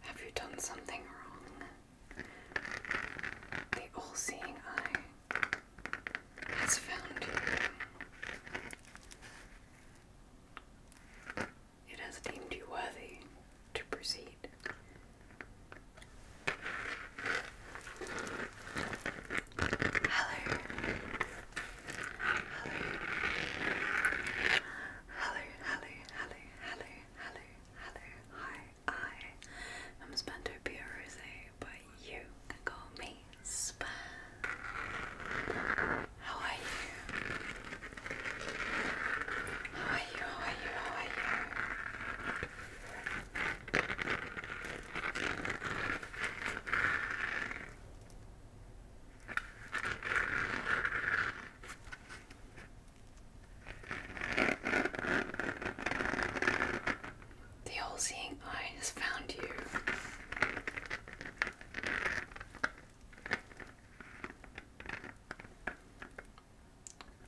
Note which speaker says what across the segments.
Speaker 1: Have you done something wrong? The all seeing eye has found you. It has deemed you worthy to proceed. Hello, Hello, hello, hello, hello, hello, hello. Hi, I am Spento Rose, but you can call me Span. How are you? How are you? How are you? How are you? The all seeing eye has found you.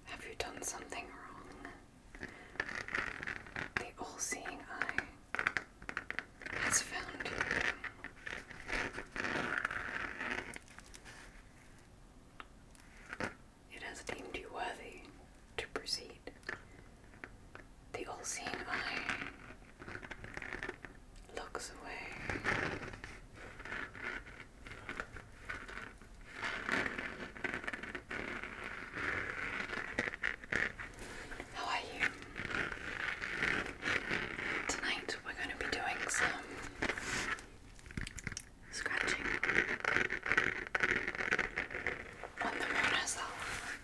Speaker 1: Have you done something wrong? The all seeing eye it has found you. It has deemed you worthy to proceed. The all seeing eye looks away. How are you? Tonight and we're going to be doing some scratching on the moon herself.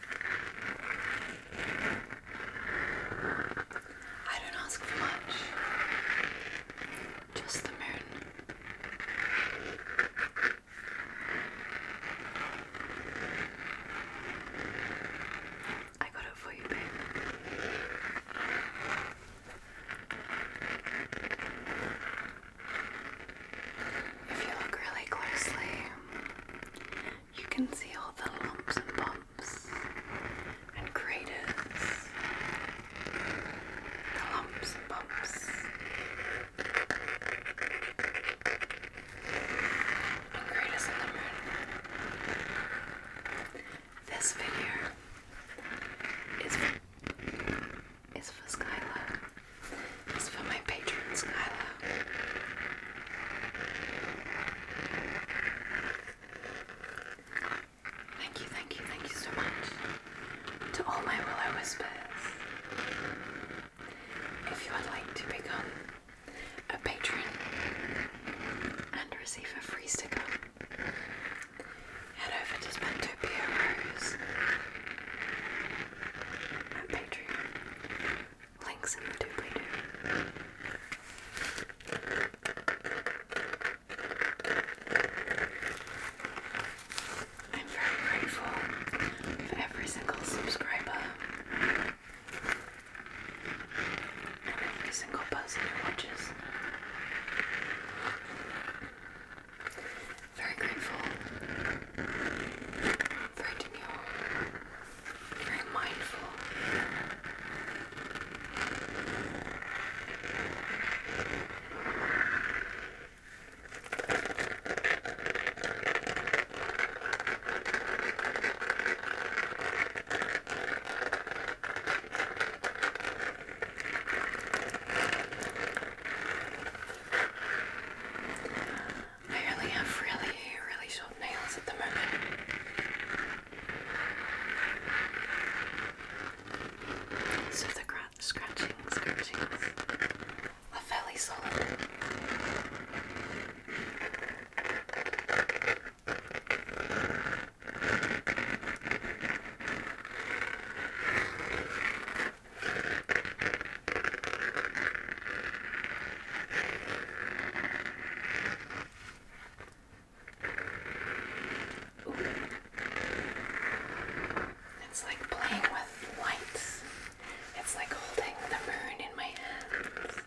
Speaker 1: I don't ask for much, just the moon. I got got you, babe. If you look really closely, you can see all the lumps and bumps and craters. The lumps bumps and greet in the moon. This video is is for Skylar. It's for my patron Skylar. Thank you, thank you, thank you so much to all my Willow Whispers. If you would like to become a patron, and receive a free sticker. Head over to Spentopia Rose at Patreon. Links in the doobly I'm very grateful for every single subscriber and every single buzz in your watches. Very grateful, very demure, very mindful. I only have really, really short nails at the moment. So the scratching, scratchings are fairly solid. Ooh. It's like playing with lights. It's like holding the moon in my hands.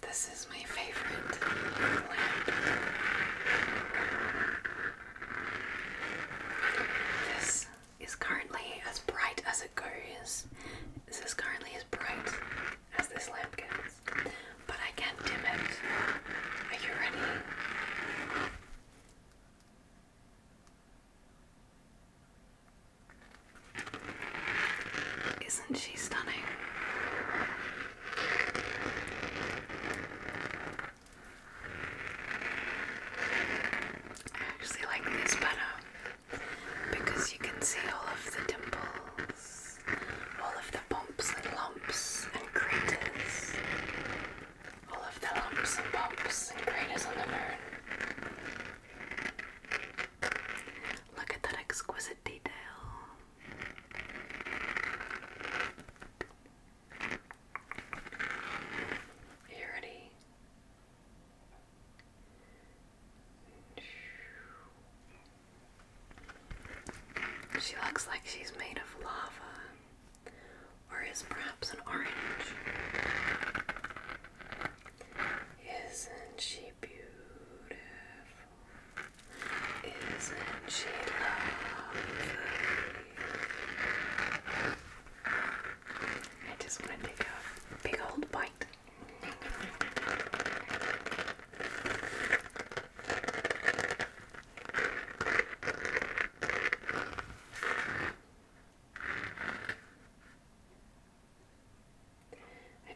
Speaker 1: This is my favorite lamp. This is currently as bright as it goes. This is currently as bright as this lamp gets, but I can not dim it. Are you ready? Isn't she stunning? I actually like this better because you can see all of the dimples, all of the bumps and lumps and craters, all of the lumps and bumps and craters on the moon. Look at that exquisite detail. Are you she looks like she's made of lava, or is perhaps an orange. Isn't she beautiful? Isn't she lovely? I just want to take a big old bite I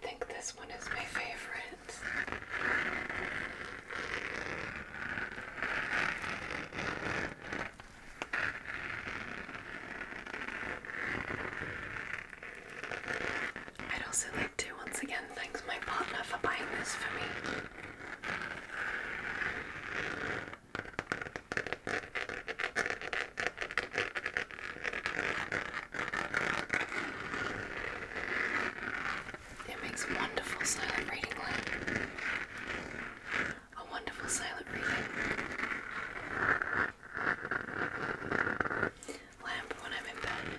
Speaker 1: think this one is my favorite. I'd also like to once again thank my partner for buying this for me. It makes wonderful silent reading A wonderful silent reading lamp when I'm in bed.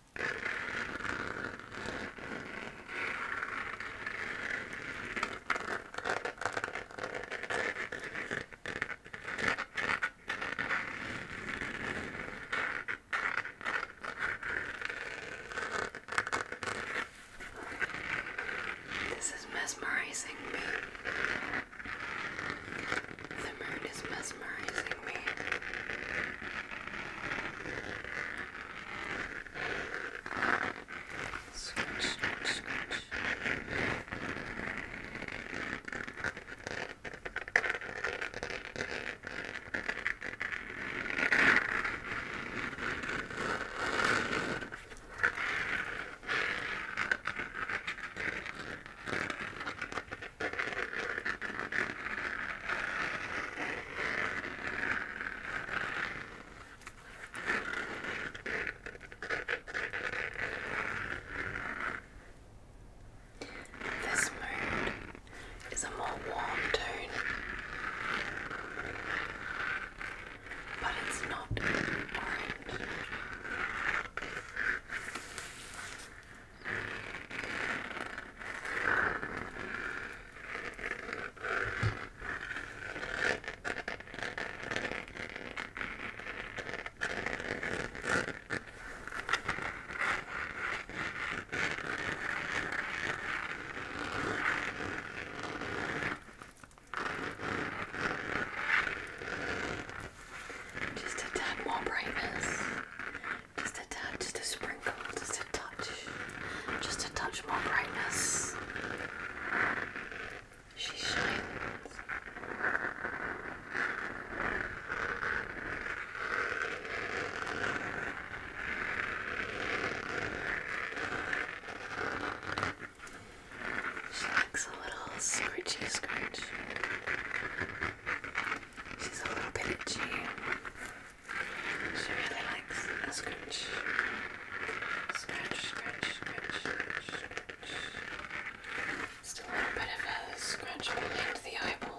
Speaker 1: This is mesmerizing me. The moon is mesmerizing me. Scratch, scratch, scratch. This mood is a more warm tone, but it's not orange. Just a tad more brightness. Just a touch, just a sprinkle, just a touch, just a touch more brightness. She shines. She likes a little scratchy scratch. She's a little bit itchy. She really likes a scratch. Scratch, scratch, scratch, Still a little bit of a scratch behind the eyeball.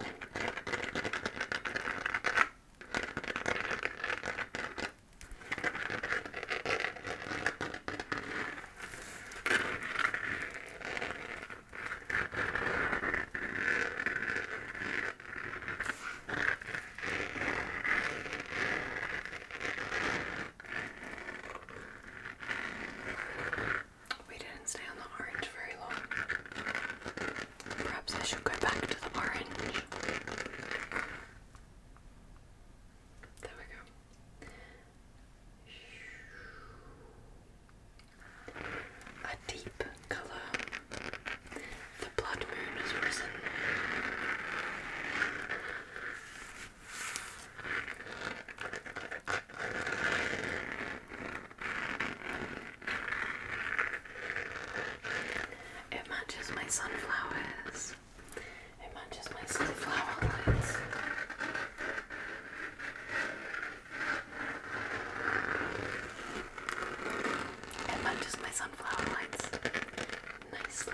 Speaker 1: We didn't stay on the orange very long. Perhaps I should go back to the orange. There we go a deep colour. The blood moon has risen. It matches my sunflowers. It matches my sunflower lights. It matches my sunflower lights nicely.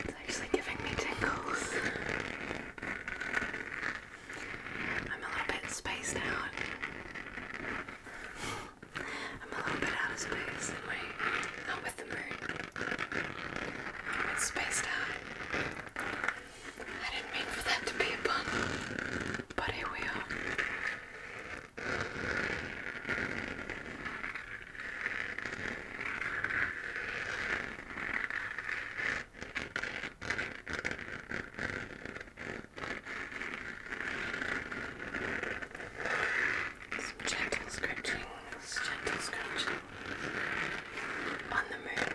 Speaker 1: It's actually giving me tingles. I'm a little bit spaced out. I'm a little bit out of space in my not with the moon. I'm spaced out. I didn't mean for that to be a pun but I will. gentle scratching, gentle scratching on the moon.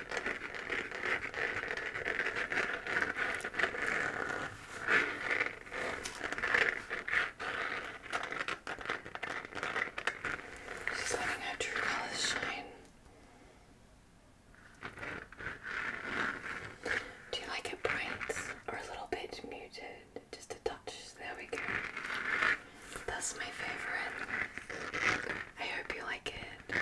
Speaker 1: She's letting her true colors shine. Do you like it bright or a little bit muted? Just a touch. There we go. That's my favorite. I hope you like it.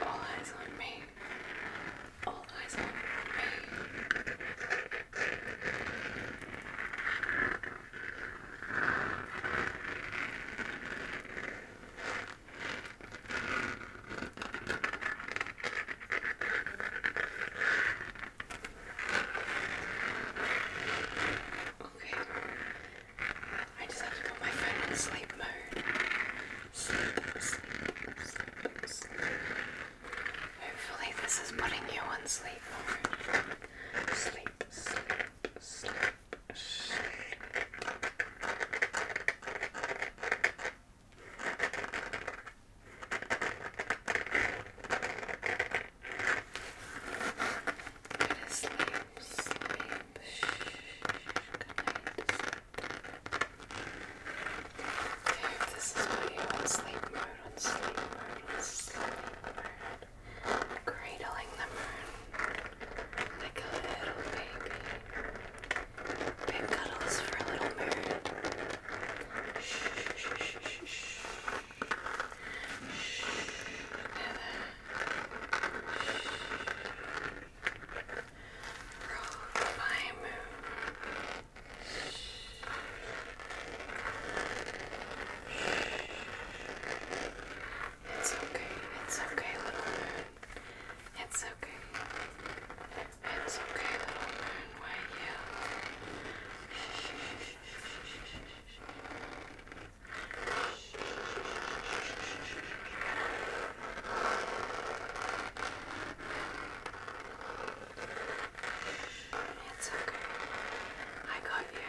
Speaker 1: All eyes on me. All eyes on me. Okay. I just have to put my phone in sleep mode. Sleep, sleep, sleep, sleep. Hopefully this is putting you on sleep mode. Sleep, sleep, sleep, sleep. Go to sleep, sleep. Shh. Good night. Okay, if this is what you want, sleep mode, on sleep mode, on sleep mode. Cradling the moon like a little baby. Big cuddles for a little moon. It's okay, it's okay, little moon. It's okay. It's okay, little moon one It's okay. I got you.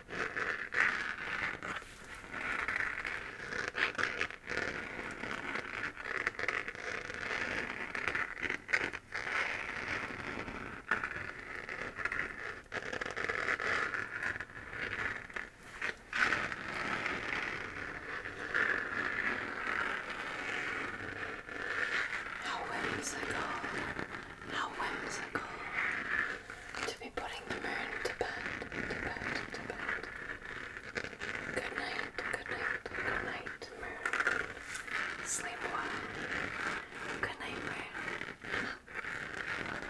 Speaker 1: How wet is it all? How whimsical to be putting the moon to bed, to bed, to bed. Good night, good night, good night, moon. Sleep well. Good night, moon. Good night,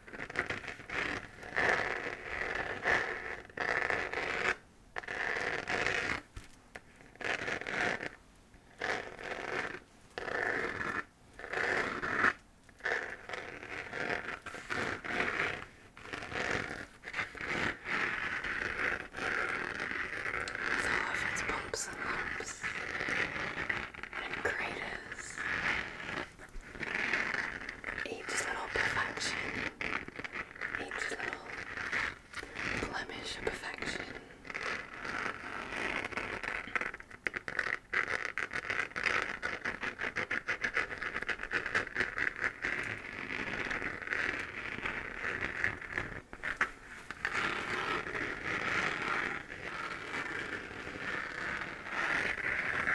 Speaker 1: It's all of its bumps and lumps and craters each little perfection, each little blemish of perfection.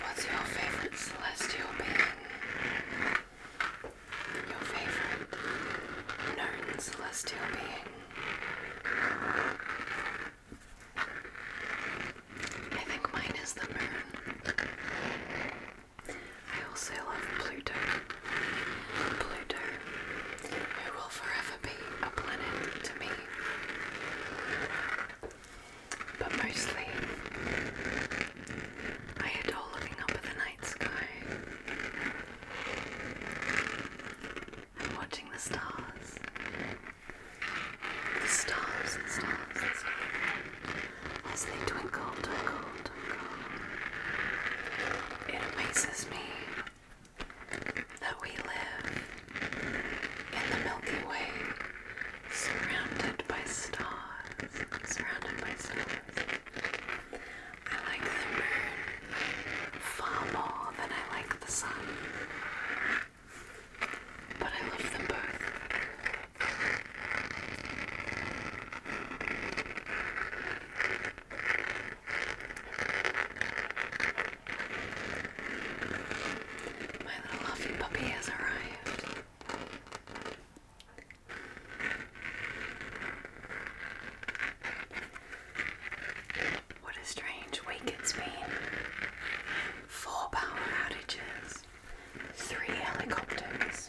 Speaker 1: What's your favorite celestial being? your favorite known celestial being. I think mine is the moon. I also love Pluto. Pluto, who will forever be a planet to me. But mostly, I adore looking up at the night sky I'm watching the stars. The stars, the stars, As they twinkle, twinkle, twinkle. It amazes me that we live in the Milky Way, surrounded by stars, surrounded by stars. I like the moon far more than I like the sun. But I love them both. My little fluffy puppy has arrived. What a strange week it's been. Four power outages, three helicopters.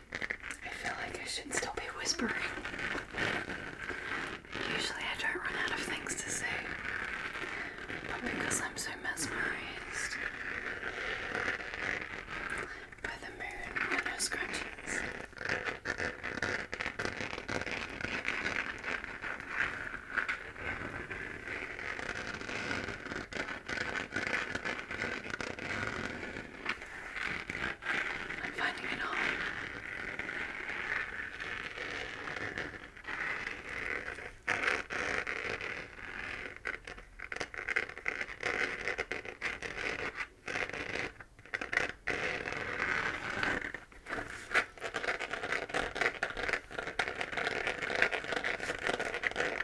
Speaker 1: I feel like I should still be whispering. Usually I don't run out of things to say, but because I'm so mesmerized by the moon and her scratches. I'm finding it all.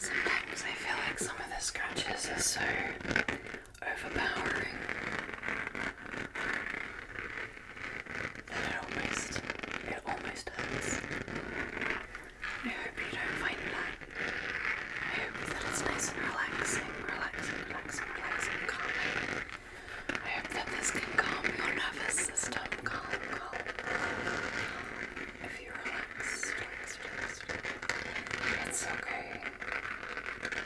Speaker 1: Sometimes I feel like some of the scratches are so overpowering it almost, it almost hurts. I hope you don't find that. I hope that it's nice and relaxing, relaxing, relaxing, relaxing, calming. I hope that this can calm your nervous system, calm, calm, If you relax. It's okay.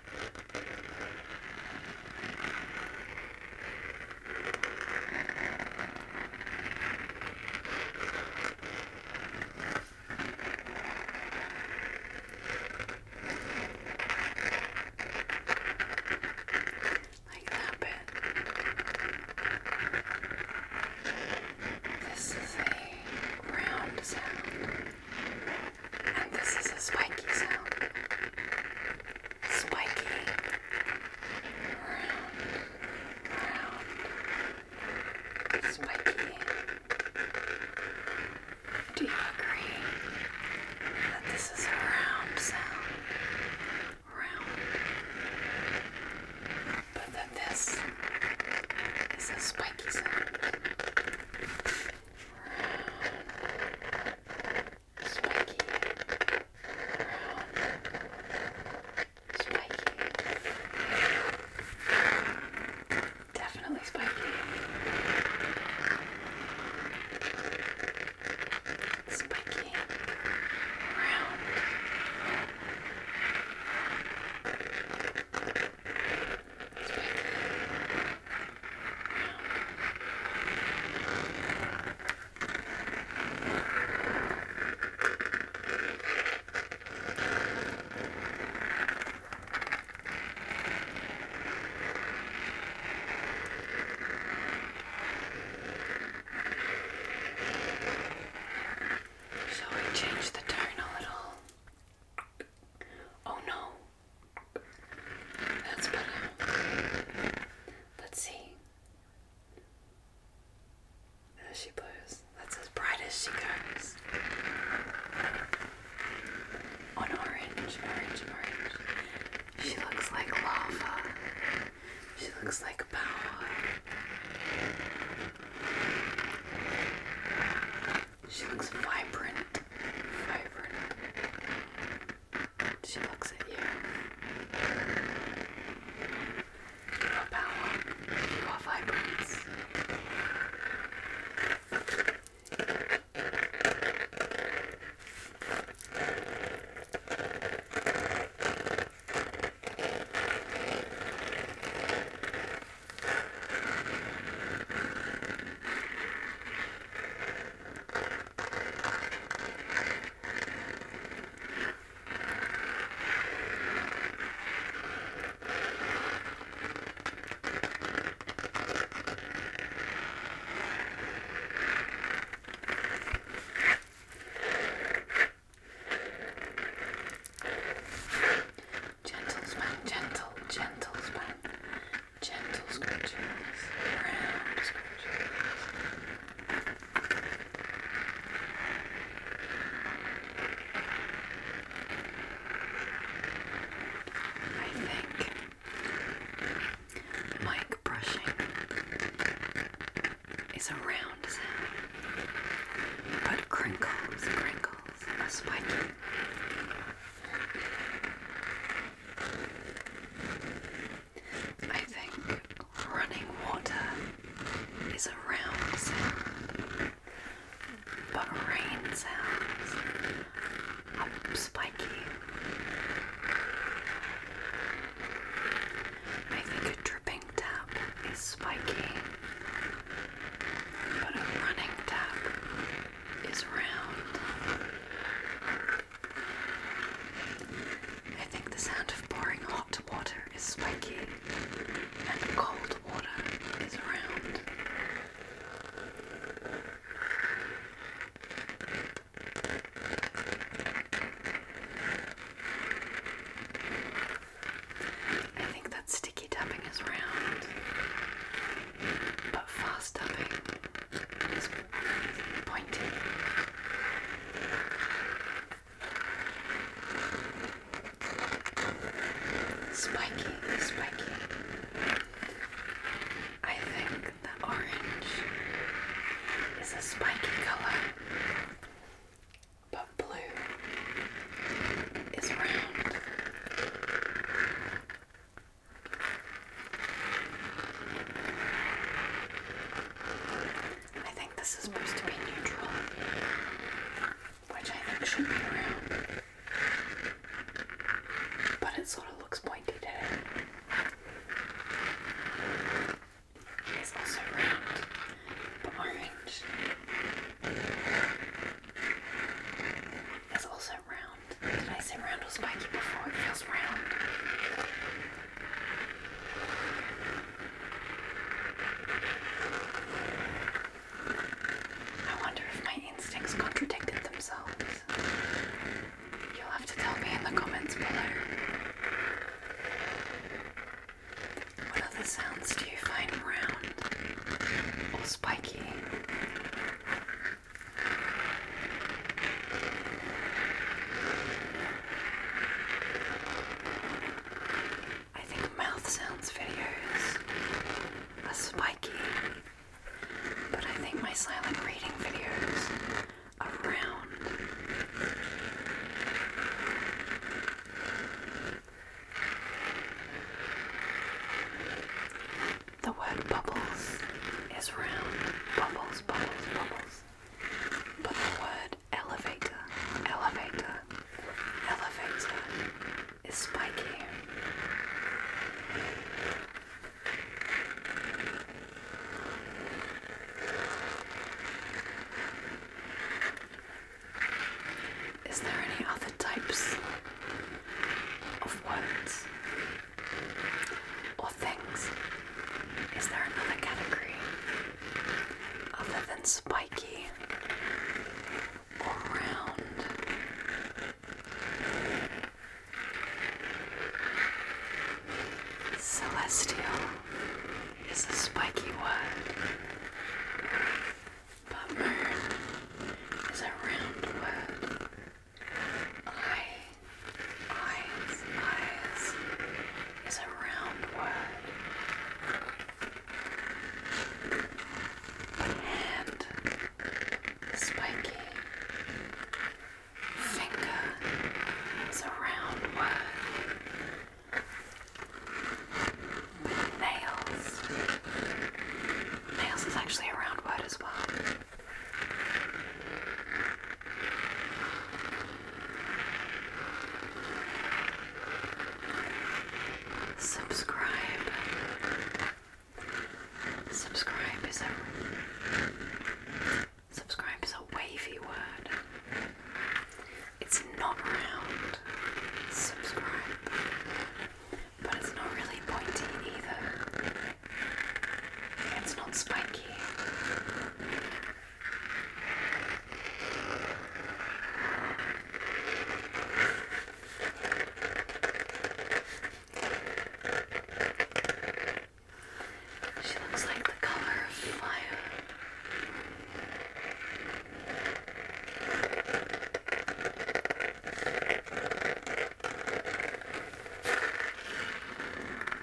Speaker 1: Like that bit. This is a round sound. And this is a spiky sound. Spiky. Round. Round. Spiky. Do you agree that this is a round sound? Round. But that this is a spiky sound brown, spiky, brown, spiky, definitely spiky, spiky, brown so we changed the tone a little. Oh no, that's better. Let's see. There she blows. That's as bright as she goes. On orange, orange, orange. She looks like lava. She looks like power. She looks vibrant. Vibrant. She looks at you. You power. You vibrance. Gentle span, gentle, gentle span, gentle scratches, round scratches. I think mic brushing is a round sound, but crinkles, crinkles are spiky. I think running water is a round sound, but rain sounds are spiky. I think a dripping tap is spiky, but a running tap is round. I think the sound of pouring hot water is spiky and cold water is round. I think that sticky tapping is round but fast tapping and it's pointy. Spiky, spiky. I think the orange is a spiky colour, but blue is round. I think this is supposed to be neutral, which I think should be around. But it sort of looks pointy today. It's also round, but orange. It's also round? Did I say round or spiky before? It feels round. I wonder if my instincts contradicted themselves. You'll have to tell me in the comments below. What other sounds do you find round or spiky? I think mouth sounds videos are spiky, but I think my silent reading videos are round. The word bubbles is round. Bubbles, bubbles, bubbles. But the word elevator, elevator, elevator is spiky. Is there any other types of words? or things? Is there another category other than spiky or round? Celestial is a spiky word, but moon is a round word. Eye, eyes, eyes is a round word. Hand, spiky. Finger is a round word. Nails. Nails is actually a round word as well. Subscribe. Subscribe is a subscribe is a wavy word. It's not round. Subscribe, but it's not really pointy either. It's not spiky. She looks like the color of fire.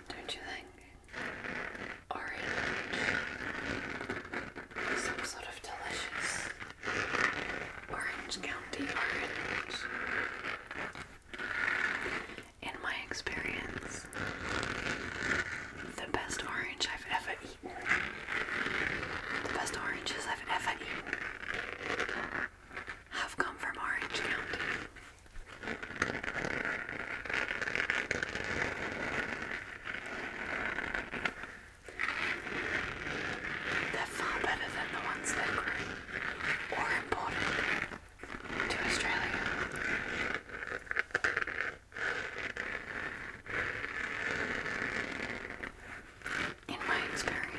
Speaker 1: Don't you think? Orange. Some sort of delicious Orange County orange. In my experience, the best orange I've ever eaten, the best oranges I've ever eaten, have come from Orange County. They're far better than the ones that grew or imported to Australia. In my experience,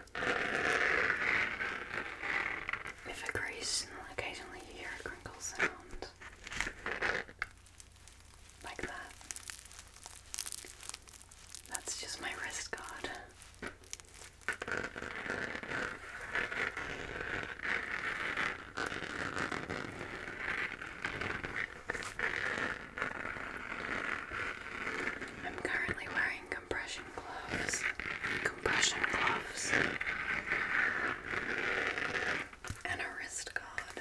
Speaker 1: If occasionally you hear a crinkle sound. Like that. That's just my wrist guard. I'm currently wearing compression gloves, compression gloves, and a wrist guard.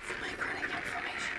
Speaker 1: For my chronic inflammation.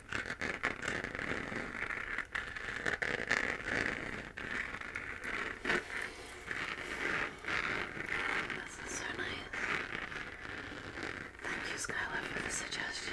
Speaker 1: This is so nice. Thank you, Skylar, for the suggestion.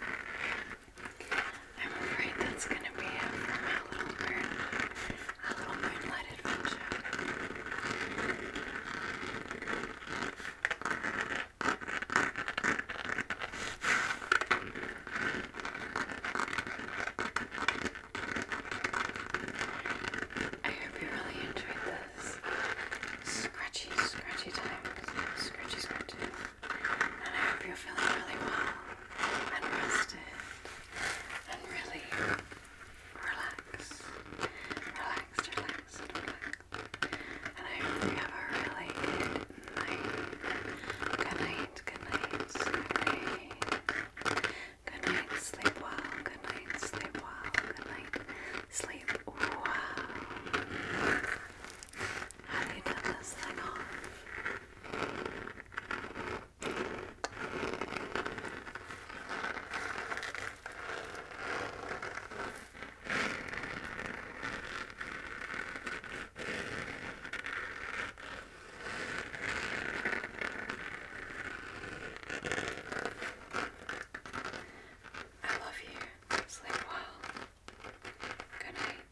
Speaker 1: I'm afraid that's going to be it for my little moon, my little moonlight adventure. I hope you really enjoyed this scratchy, scratchy time. Scratchy, scratchy. And I hope you're feeling really well and rested and really relaxed. Relaxed, relaxed, relaxed. And I hope you have a really good night. Good night, good night, sleep well, good night, sleep well, good night, sleep well. Have you done this thing off? I love you. Sleep well. Good night.